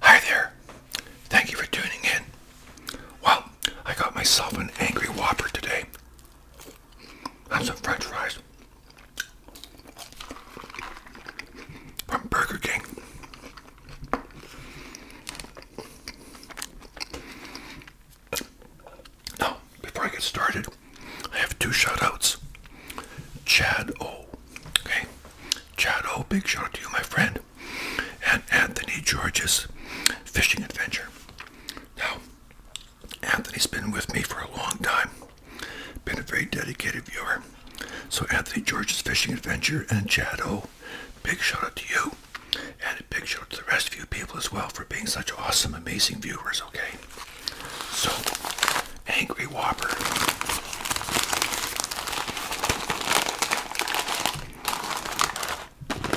Hi there. Thank you for tuning in. Well, I got myself an angry whopper today. And some french fries. From Burger King. Now, before I get started, I have two shout outs. Chad O. Okay. Chad O, big shout out to you, my friend. And Anthony George's fishing adventure. Now, Anthony's been with me for a long time. Been a very dedicated viewer. So Anthony George's Fishing Adventure and Chad O, big shout out to you. And a big shout out to the rest of you people as well for being such awesome, amazing viewers, okay? So, Angry Whopper.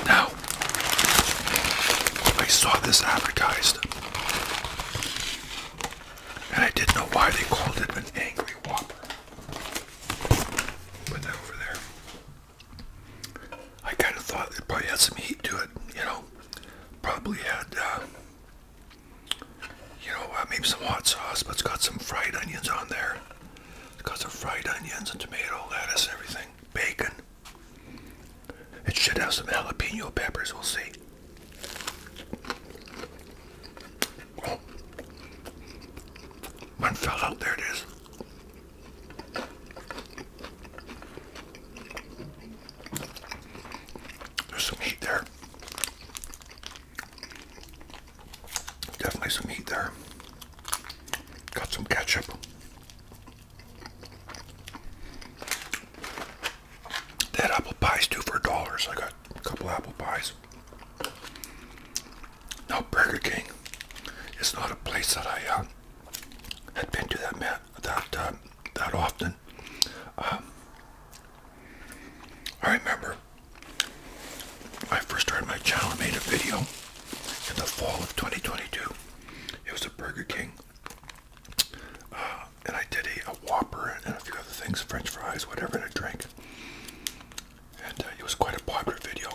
Now, I saw this advertised. And I didn't know why they called it an Angry Whopper. Put that over there. I kind of thought it probably had some heat to it, you know. Probably had, uh, you know, uh, maybe some hot sauce, but it's got some fried onions on there. It's got some fried onions and tomato, lettuce, and everything. Bacon. It should have some jalapeno peppers, we'll see. One fell out. There it is. There's some heat there. Definitely some heat there. Got some ketchup. That apple pie's two for a dollar, so I got a couple apple pies. Now, Burger King is not a place that I uh, had been to that that um, that often. Um, I remember when I first started my channel. I made a video in the fall of 2022. It was a Burger King, uh, and I did a, a Whopper and a few other things, French fries, whatever, and a drink and uh, it was quite a popular video.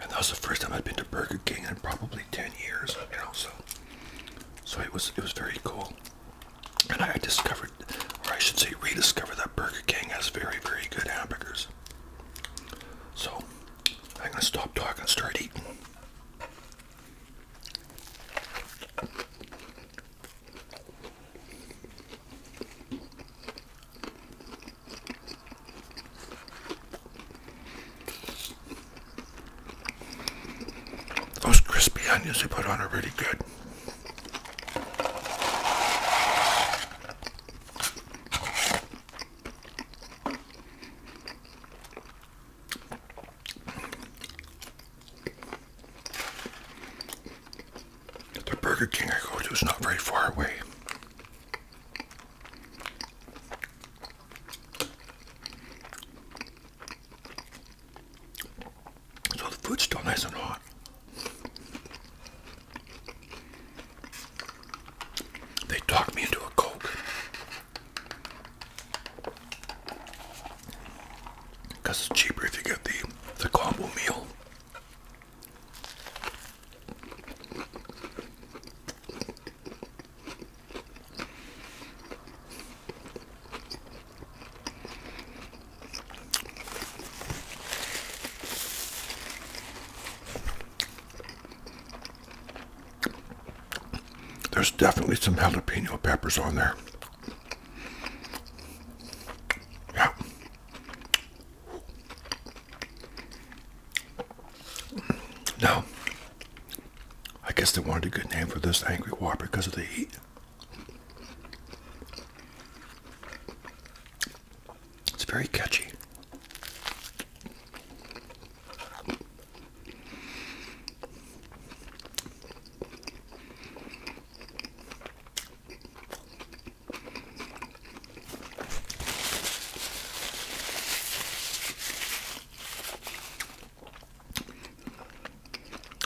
And that was the first time I'd been to Burger King in probably 10 years, you know, so so it was it was very cool. And I discovered, or I should say rediscovered that Burger King has very, very good hamburgers. So I'm gonna stop talking and start eating. Those crispy onions they put on are really good. The Burger King I go to is not very far away. So the food's still nice and hot. They talked me into a Coke because it's cheaper if you get the the combo meal. There's definitely some jalapeno peppers on there. Yeah. I guess they wanted a good name for this angry war because of the heat. It's very catchy.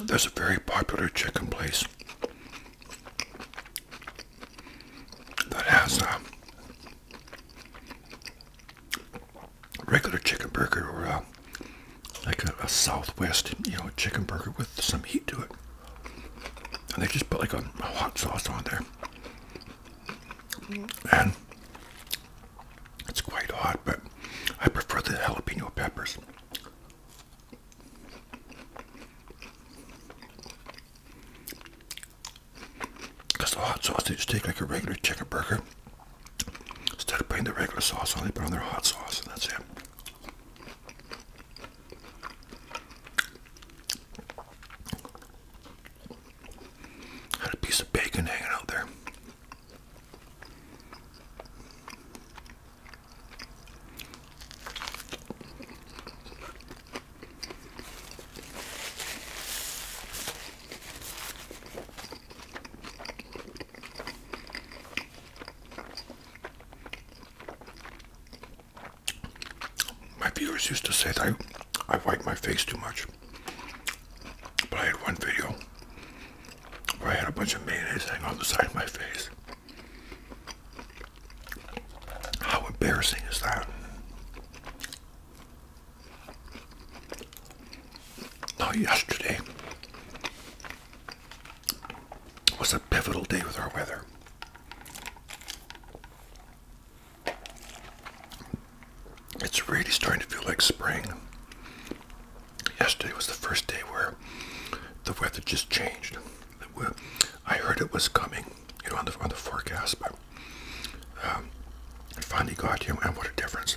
There's a very popular chicken place that has a uh, regular chicken burger or a uh, like a, Southwest, you know, chicken burger with some heat to it. And they just put like a, a hot sauce on there. And it's quite hot, but I prefer the jalapeno peppers. Because the hot sauce, they just take like a regular chicken burger. Instead of putting the regular sauce on, they put on their hot sauce, and that's it. Had a piece of bacon hanging out there. My viewers used to say that I, I wiped my face too much. But I had one video where I had a bunch of mayonnaise hanging on the side of my face. How embarrassing is that? Not yesterday, was a pivotal day with our weather. It's really starting to feel like spring. Yesterday was the first day where the weather just changed. I heard it was coming, you know, on the on the forecast, but um, I finally got you, and what a difference!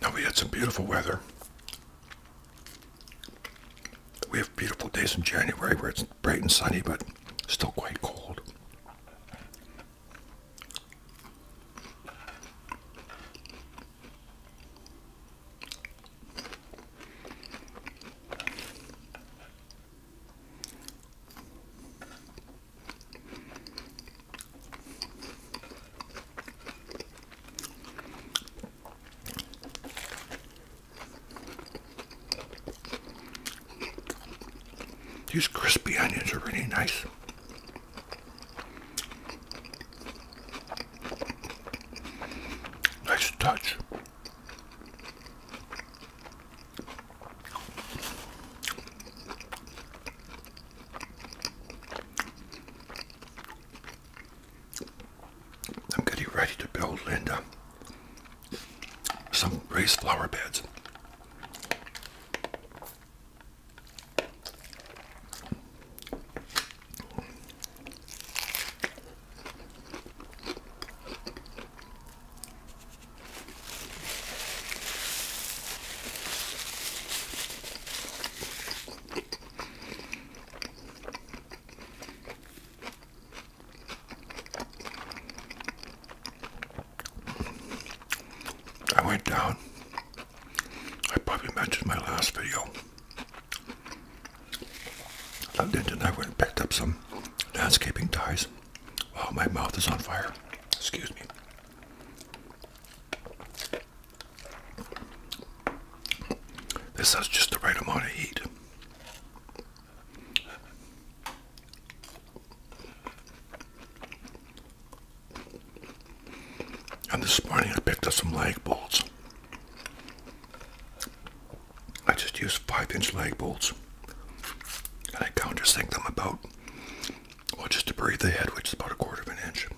Now we had some beautiful weather. We have beautiful days in January where it's bright and sunny, but still quite cold. These crispy onions are really nice. Nice touch. I'm getting ready to build Linda some raised flower beds. I went down. I probably mentioned my last video. Logged in I went and picked up some landscaping ties. Wow, oh, my mouth is on fire. Excuse me. This has just the right amount of heat. And this morning I picked up some lag bolts. I just use five inch lag bolts and I countersink them about, well, just to breathe the head, which is about a quarter of an inch.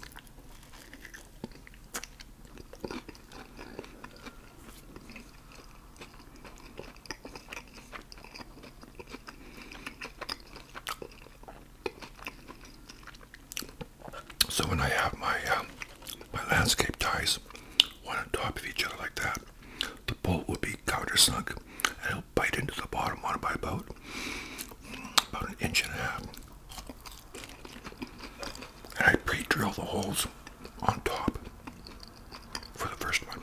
So when I have my uh, my landscape ties, one on top of each other like that, the bolt would be countersunk and it'll bite into the bottom one by about, about an inch and a half. And I pre-drill the holes on top for the first one.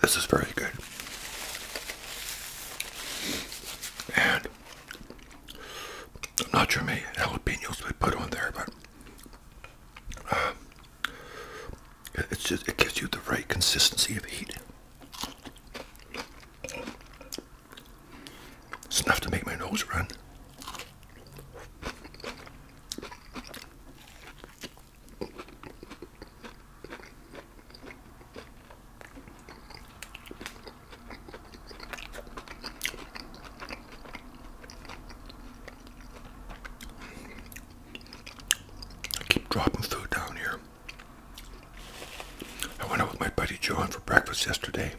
This is very good. And not your how many jalapenos we put on there, but um, it's just it gives you the right consistency of heat. It's enough to make my nose run. I keep dropping food down here. I went out with my buddy John for breakfast yesterday.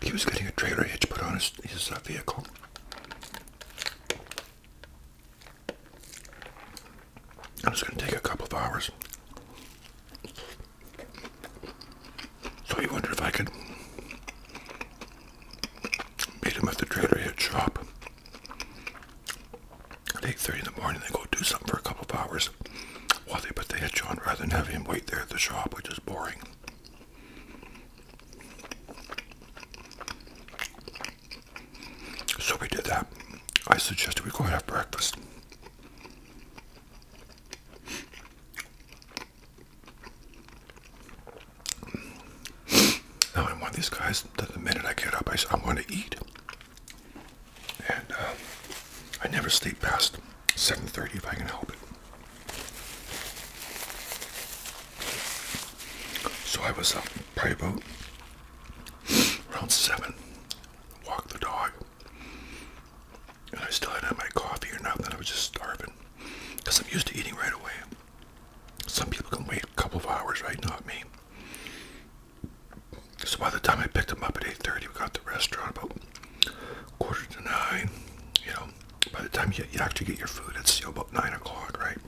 He was getting a trailer hitch put on his, his uh, vehicle. And it's going to take a couple of hours. So he wondered if I could meet him at the trailer hitch shop at 8.30 in the morning. They go do something for a couple of hours while they put the hitch on rather than having him wait there at the shop, which is boring. So we did that. I suggested we go have breakfast. Now i want these guys that the minute I get up, I, I want to eat. And uh, I never sleep past 7.30 if I can help it. So I was up probably about around 7, walked the dog, and I still hadn't had my coffee or nothing. I was just starving because I'm used to eating right away. Some people can wait a couple of hours, right? Not me. So by the time I picked him up at 8.30, we got the restaurant about quarter to 9, you know, by the time you, you actually get your food, it's about nine o'clock, right?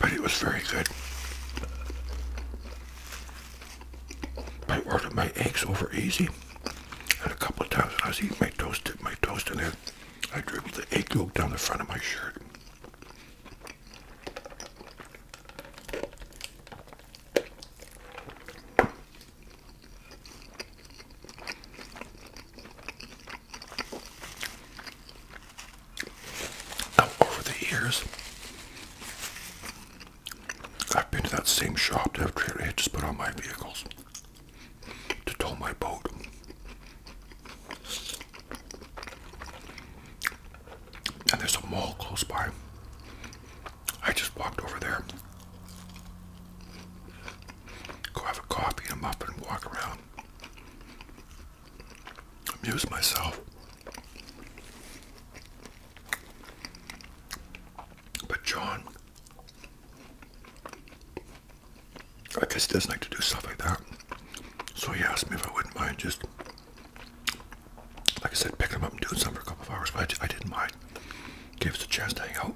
But it was very good. I ordered my eggs over easy, and a couple of times when I was eating my toast, my toast in there, I dribbled the egg yolk down the front of my shirt over the years, I've been to that same shop to have trailer hitches put on my vehicles to tow my boat and there's a mall close by. I just walked over there. Go have a coffee a muffin walk around. Amuse myself. But John, I guess he doesn't like to do stuff like that. So he asked me if I wouldn't mind just like I said, picking him up and doing something for a couple of hours, but I, didn't mind. Gave us a chance to hang out.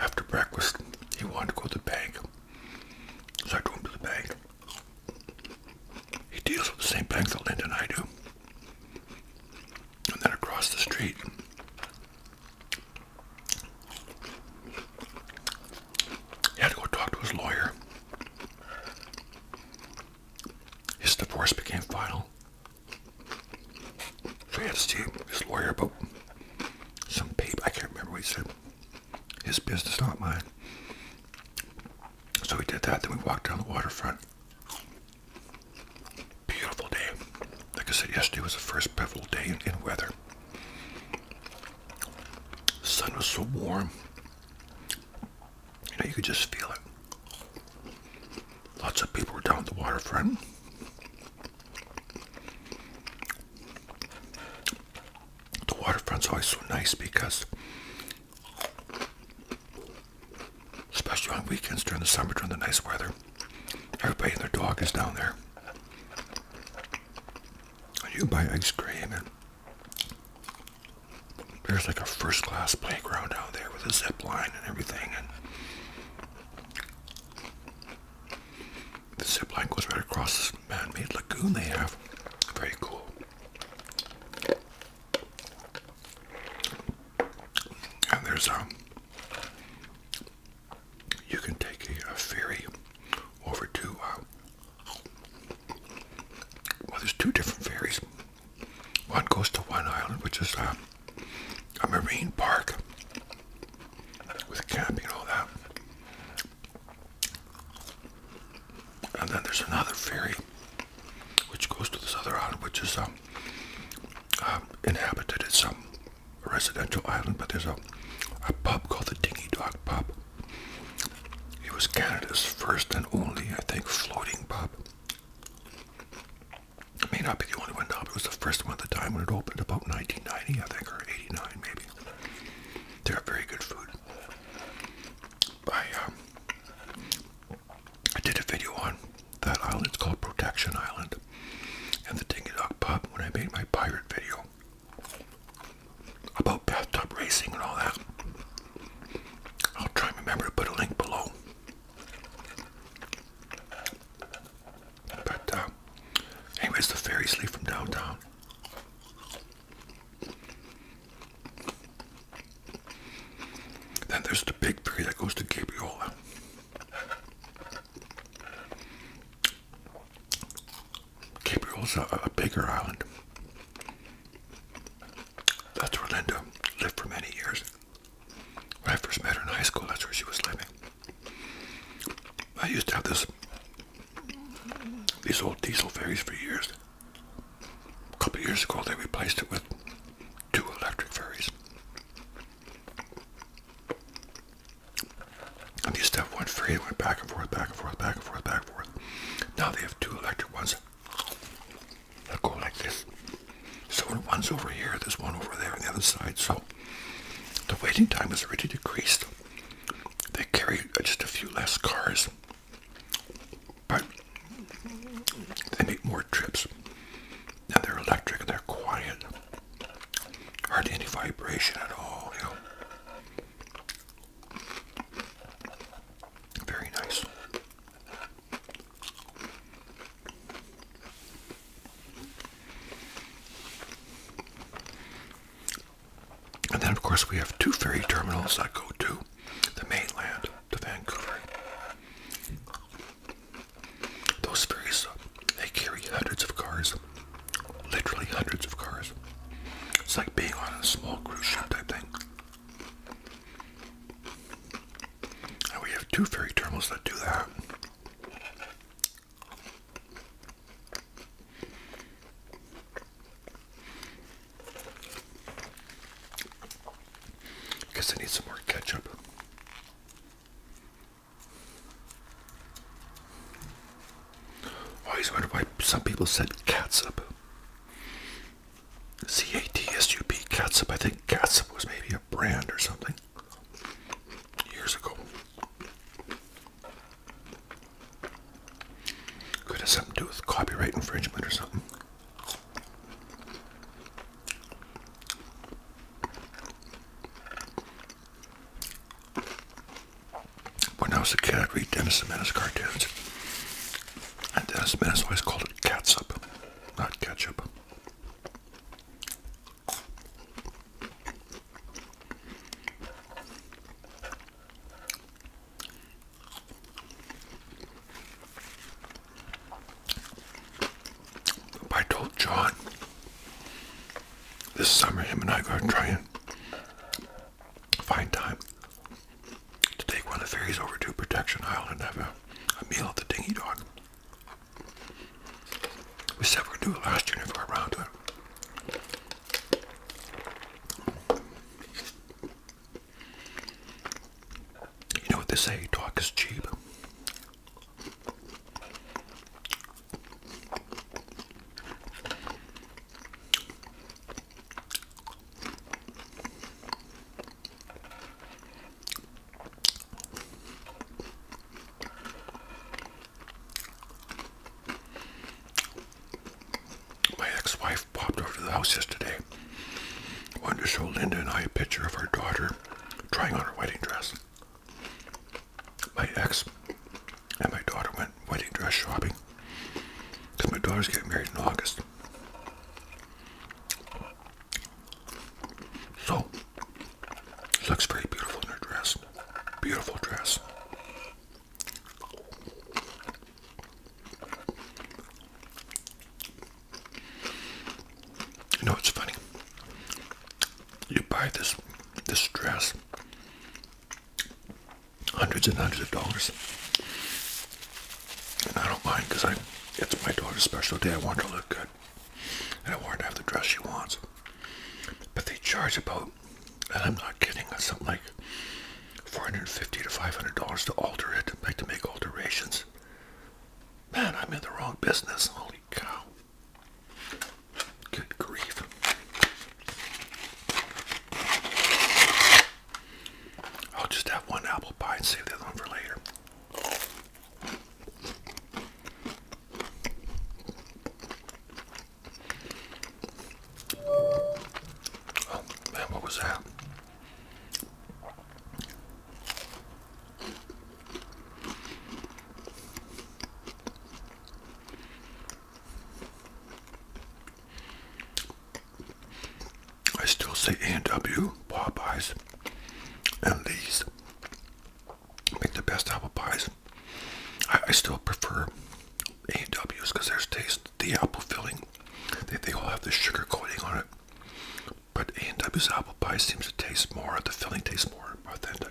After breakfast, he wanted to go to the bank. So I drove him to the bank. He deals with the same bank that Linton and I do. And then across the street, he had to go talk to his lawyer. His divorce became final. So his lawyer about some paper. I can't remember what he said. His business, not mine. So we did that. Then we walked down the waterfront. Beautiful day. Like I said, yesterday was the first beautiful day in, in weather. The sun was so warm. You know, you could just feel it. Lots of people are down at the waterfront. The waterfront's always so nice because, especially on weekends during the summer, during the nice weather, everybody and their dog is down there. And you buy ice cream and there's like a first class playground out there with a zip line and everything. And the zip line goes right across this man made lagoon they have. Very cool. And there's um you can take a, ferry over to uh, well, there's two different ferries. One goes to one island, which is uh, a marine park with camping and all that. And then there's another ferry which goes to this other island, which is um, um, inhabited. It's a residential island, but there's a, pub called the Dingy Dog Pub. It was Canada's first and only, I think, floating pub. It may not be the only one now, but it was the first one at the time when it opened, about 1990, I think, or 89 maybe. They have very good food. I, um, I did a video on that island. It's called Protection Island. And the Dingy Dog Pub, when I made my pirate video, about bathtub racing and all that. I'll try and remember to put a link below. But, uh, anyways, the ferries leave from downtown. Then there's the big ferry that goes to Gabriola. Gabriola's a, a bigger island. That's where Linda lived for many years. When I first met her in high school, that's where she was living. I used to have this these old diesel ferries for years. A couple years ago, they replaced it with two electric ferries. I used to have one ferry that went back and forth, back and forth, back and forth, back and forth. Now they have two electric ones they go like this. So one's over here, there's one over there on the other side. So the waiting time has already decreased. They carry just a few less cars, but they make more trips. And they're electric, they're quiet, hardly any vibration at all, you know. Very nice. And then, of course, we have two ferry terminals that go to the mainland, to Vancouver. Those ferries, they carry hundreds of cars, literally hundreds of cars. It's like being on a small cruise ship type thing we have two ferry terminals that do that. Because I need some more ketchup. I always wonder why some people said catsup. C-A-T-S-U-P, Catsup. I think Catsup was maybe a brand or something years ago. Could have something to do with copyright infringement or something. When I was a kid, i read Dennis the Menace cartoons. And Dennis Menace called it catsup, not ketchup. I told John this summer him and I are going to try and find time to take one of the ferries over to Protection Island and have a, a meal at the Dingy Dog. We said we'd do it last year, never got around to it. You know what they say, talk is cheap. My ex-wife popped over to the house yesterday. Wanted to show Linda and I a picture of our daughter trying on her wedding dress. My ex and my daughter went wedding dress shopping. Because my daughter's getting married in August. So, she looks very beautiful in her dress. Beautiful dress. You know, it's funny. You buy this this dress hundreds and hundreds of dollars. And I don't mind because I it's my daughter's special day. I want her to look good. And I want her to have the dress she wants. But they charge about, and I'm not kidding, uh, something like 450 to $500 to alter it, like to make alterations. Man, I'm in the wrong business. Holy cow. Good grief. I'll just have one apple pie and save the other one for later. Oh, man, what was that? I still say A&W, Popeyes, and these make the best apple pies. I, still prefer A&W's because there's taste the apple filling. They, they all have the sugar coating on it. But A&W's apple pie seems to taste more, the filling tastes more authentic.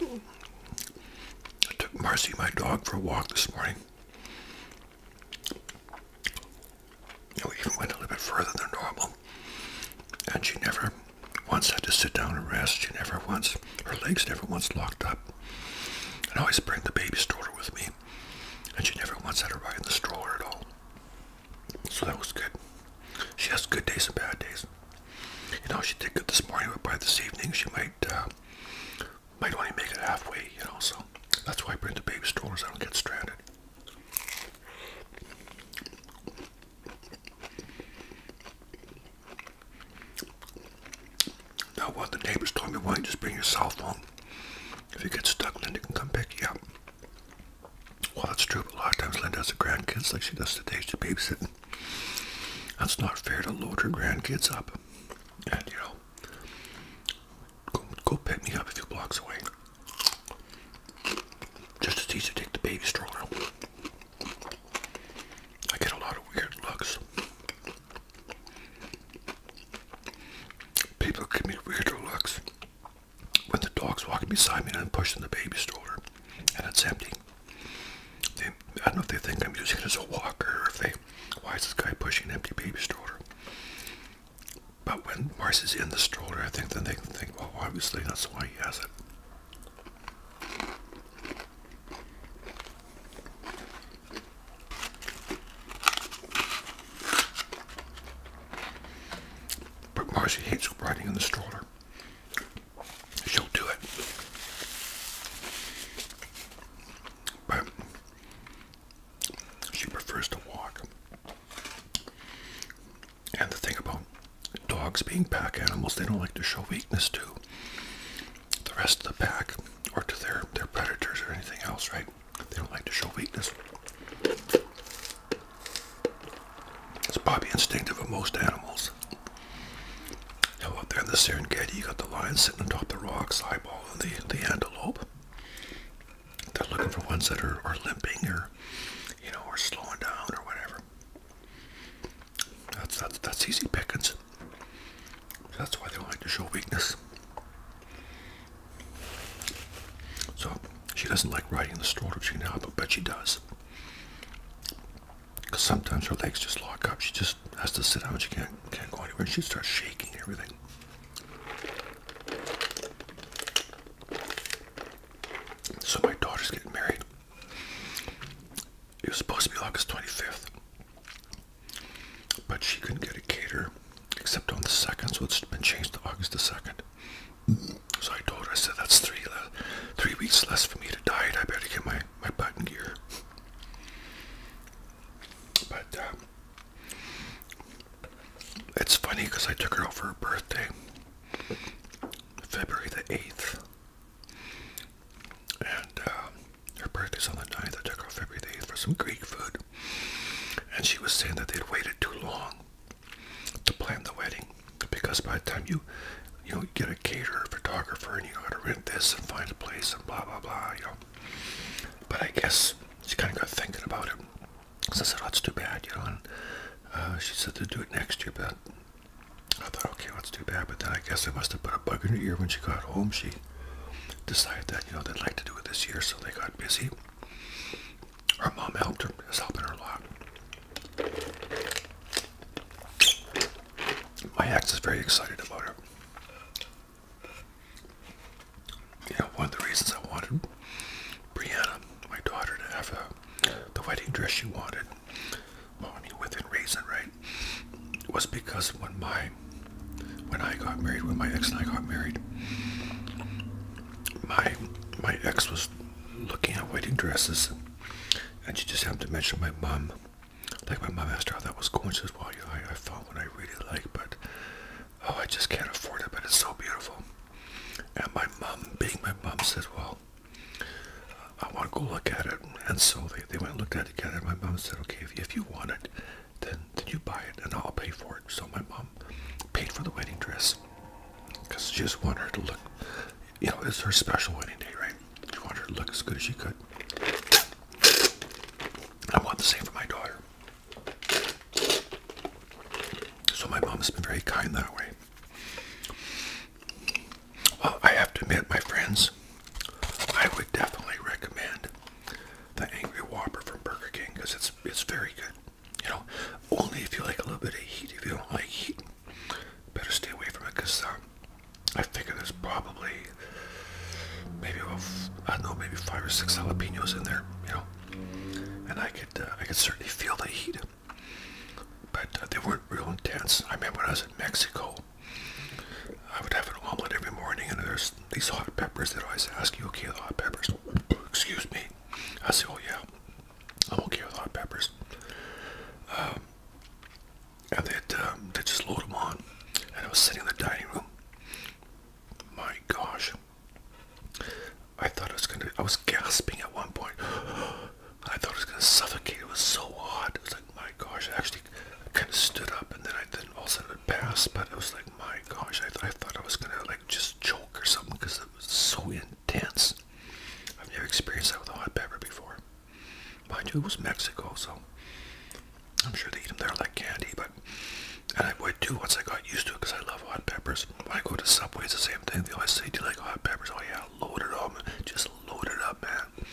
I took Marcy, my dog, for a walk this morning. And we even went a little bit further than normal. And she never once had to sit down and rest. She never once, her legs never once locked up. And I always bring the baby stroller with me. And she never once had to ride in the stroller at all. So that was good. She has good days and bad days. You know, she did good this morning, but by this evening she might uh, might only make it halfway. You know, so that's why I bring the baby strollers. I don't get stranded. Now, what the neighbors told me, why you just bring your cell phone? If you get stuck, Linda can come pick you up. Well, that's true, but a lot of times Linda has the grandkids, like she does today, she babysits that's not fair to load her grandkids up. And you know, go, go pick me up a few blocks away. Just as easy to take the baby stroller. I get a lot of weird looks. People give me weirder looks when the dog's walking beside me and I'm pushing the baby stroller and it's empty. I don't know if they think I'm using it as a walker or if they, why is this guy pushing an empty baby stroller? But when Mars in the stroller, I think then they can think, well, obviously that's why he has it. But Marcy hates riding in the stroller she'll do it. But she prefers to walk. And the thing about dogs being pack animals, they don't like to show weakness to the rest of the pack or to their, their predators or anything else, right? They don't like to show weakness. It's probably instinctive of most animals. Now out there in the Serengeti, you got the lions sitting on the rocks, eyeballing the, the antelope. They're looking for ones that are, are limping or, you know, or slowing down or whatever. That's, that's, that's easy pickings. That's why they like to show weakness. So, she doesn't like riding the stroller she now, but, but she does. Because sometimes her legs just lock up. She just has to sit down. She can't, can't go anywhere. She starts shaking everything. So my daughter's getting married. It was supposed to be August 25th. But she couldn't get a caterer except on the 2nd. So it's been changed to August the 2nd. So I told her, I said, that's three, uh, three weeks less for me to diet. I better get my my button gear. But um, it's funny because I took her out for her birthday, February the 8th. And um, her birthday's on the 9th. I took her out February 8th for some Greek food. And she was saying that they'd waited too long to plan the wedding because by the time you you know, get a caterer, photographer, and you gotta rent this and find a place and blah blah blah, you know. But I guess she kind of got thinking about it. So I said, oh, that's too bad, you know. And uh, she said they to do it next year, but I thought, okay, that's too bad. But then I guess I must have put a bug in her ear when she got home. She decided that, you know, they'd like to do it this year, so they got busy. Her mom helped her, is helping her a lot. My ex is very excited about it. You know, one of the reasons I wanted Brianna, my daughter, to have the wedding dress she wanted, well, within reason, right, was because when my, when I got married, when my ex and I got married, my, my ex was looking at wedding dresses, and she just happened to mention my mom like my mom asked her how that was going. She says, "Well, yeah, I, I found one I really like, but oh, I just can't afford it. But it's so beautiful." And my mom, being my mom, said, "Well, I want to go look at it." And so they, they went and looked at it together. And my mom said, "Okay, if, if you want it, then then you buy it, and I'll pay for it." So my mom paid for the wedding dress because she just wanted her to look you know, it's her special wedding day, right? She wanted to look as good as she could. I want the same for my daughter. So my mom's been very kind that way. Well, I have to admit, my friends, I would definitely recommend the Angry Whopper from Burger King because it's it's very good. You know, only if you like a little bit of heat. If you don't like heat, better stay away from it because uh, um, I figure there's probably maybe I don't know, maybe five or six jalapenos in there, you know. And I could, uh, I could certainly feel the heat, but uh, they weren't real intense. I remember when I was in Mexico, I would have an omelet every morning, and there's these hot peppers that always ask you, "Okay, the hot peppers?" Excuse me. I say, "Oh yeah, I'm okay with hot peppers." Um, and they um, they just load them on. And I was sitting in the dining room. My gosh. I thought it was gonna, I was gasping at one point. I thought it was gonna suffocate. It was so hot. It was like, my gosh, I actually kind of stood up and then I then all of a sudden passed, but it was like, my gosh, I, I thought I was gonna like just choke or something because it was so intense. I've never experienced that with hot pepper before. My you, was Mexico, so I'm sure they eat them there like candy, but and I would too once I got used to it because I love hot peppers. When I go to Subway, it's the same thing. They always say, "Do you like hot peppers?" Oh yeah, load it up, just load it up, man.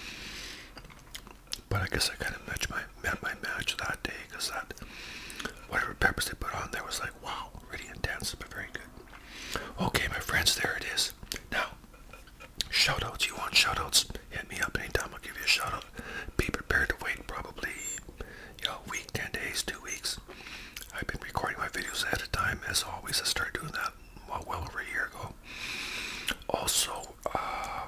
But I guess I kind of matched my met my match that day because that whatever peppers they put on there was like wow, really intense but very good. Okay, my friends, there it is. Now Shoutouts, you want shoutouts? Hit me up anytime, I'll give you a shoutout. Be prepared to wait probably a week, 10 days, 2 weeks. I've been recording my videos ahead of time, as always. I started doing that well, well over a year ago. Also, uh,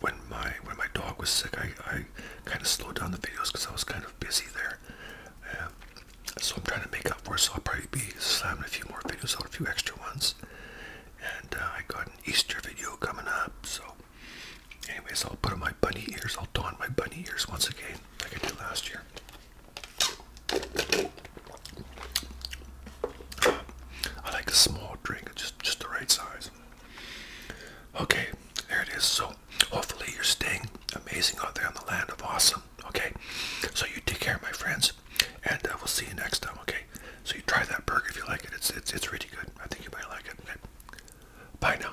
when my when my dog was sick, I, I kind of slowed down the videos because I was kind of busy there. so I'm trying to make up for it, so I'll probably be slamming a few more videos out, a few extra ones and uh, I got an Easter video coming up. So, anyways, I'll put on my bunny ears. I'll don my bunny ears once again, like I did last year. Um, I like a small drink, just just the right size. Okay, there it is. So hopefully you're staying amazing out there on the land of awesome. Okay, so you take care, my friends. And uh, we'll see you next time, okay? So you try that burger if you like it. It's it's it's really good. I think you might like it. Bye now.